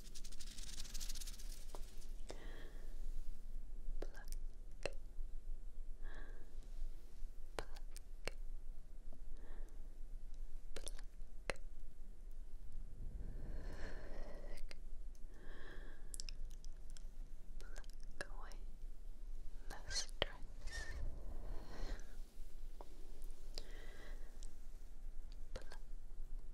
pluck away the stress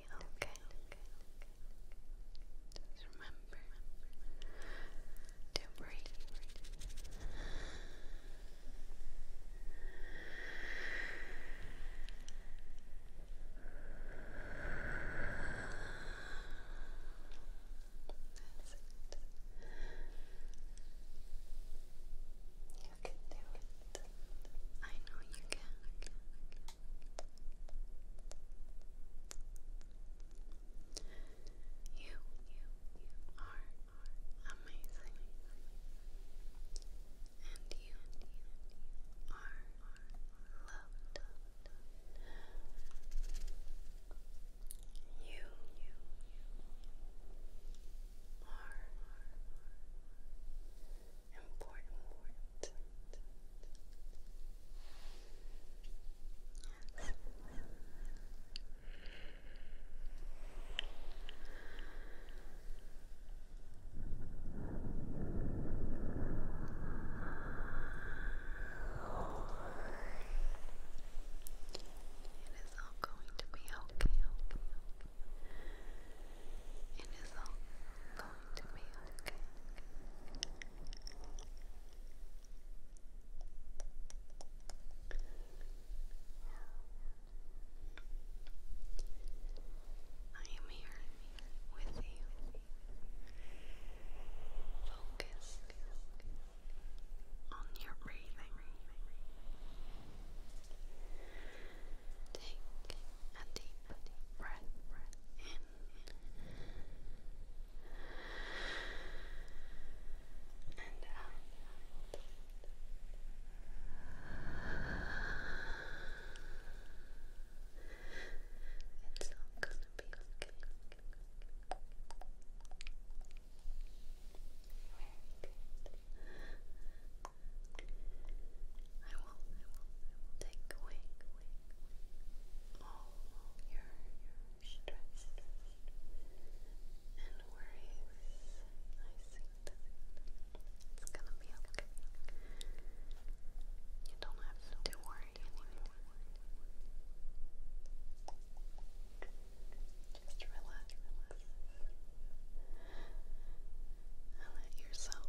okay, okay. Just remember to breathe. That's You can do it. I know you can. You, you are amazing, and you are loved. You are important word. It is all going to be okay, okay, okay. It is all going I am here with you. Focus on your breathing. Take a deep breath in and out. It's all gonna be okay. Very good. I will, I will, I will take away all your, your stress and worries. I see that it's gonna be okay. You don't have to worry anymore. Just relax, And let yourself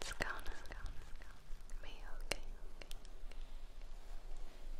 It's gonna, gonna, gonna be okay, okay, okay.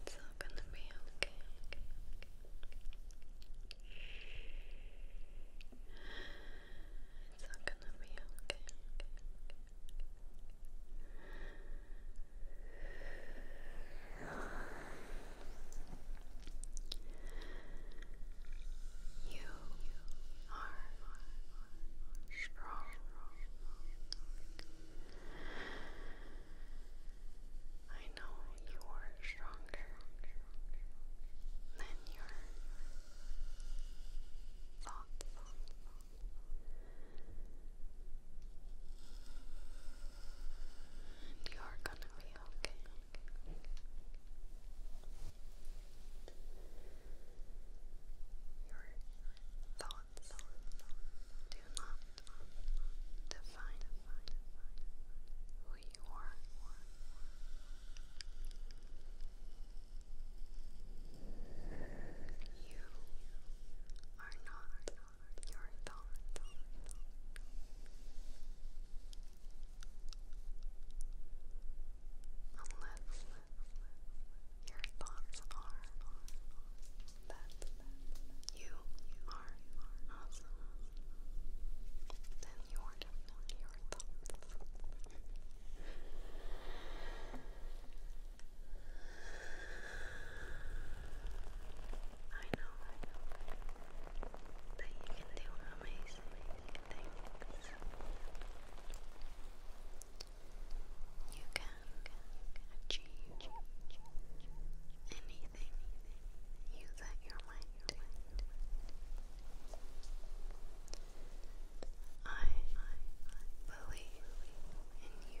It's all gonna be okay. okay, okay. It's all going You are strong. I know you are stronger than your thoughtful. you're gonna be okay. Your thoughts do not define who you are you are not your thoughts. Unless your thoughts are that you are awesome, then you are definitely your thoughts. I know, that you can do amazing, things. You can achieve anything you your mind I believe in you.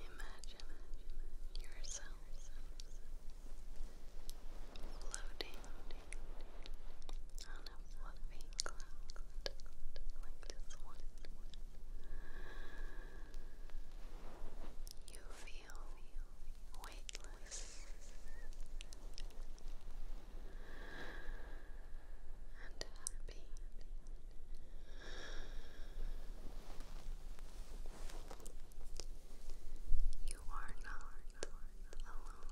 Imagine yourself floating on a fluffy cloud, You feel weightless and happy. You are not alone.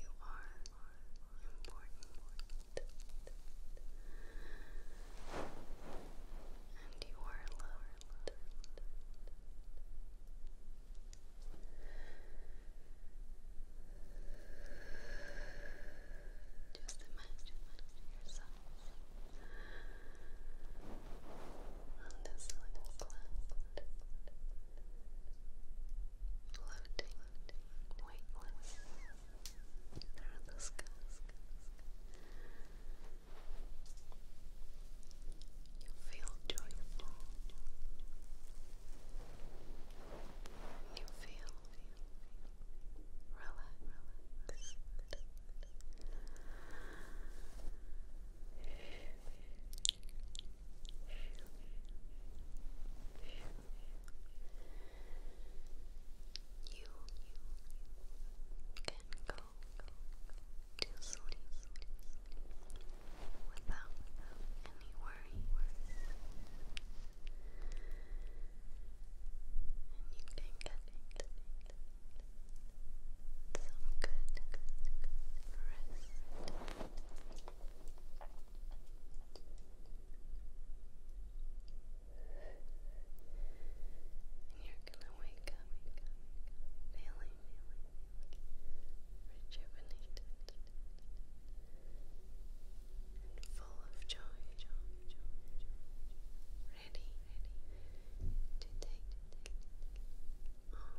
You are important. And you are loved. Just imagine yourself on this little floating, weightless through the sky. You feel joyful. You feel relaxed. You can go to sleep without any worries, and you can get some good, rest. And you're gonna wake up feeling rejuvenated and full of joy, ready to take on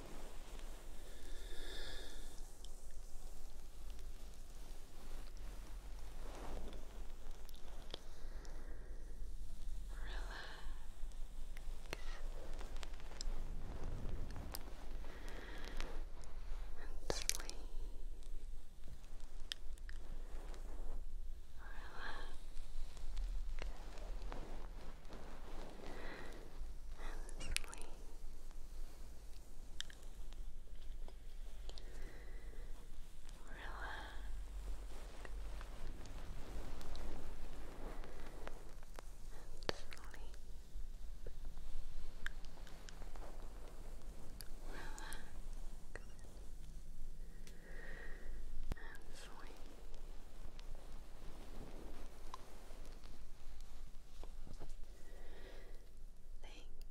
and sleep. Relax and sleep. Relax. And sleep. Relax and sleep. Thank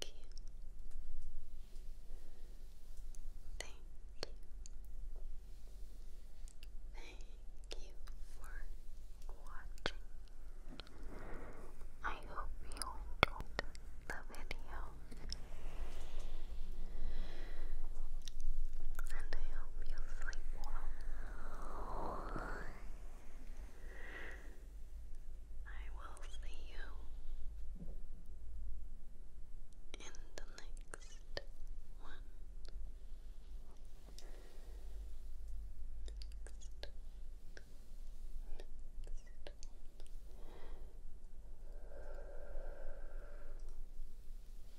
you. Thank you. Thank you for watching. I hope you enjoyed the video and I hope you sleep well. I will see you in the next one.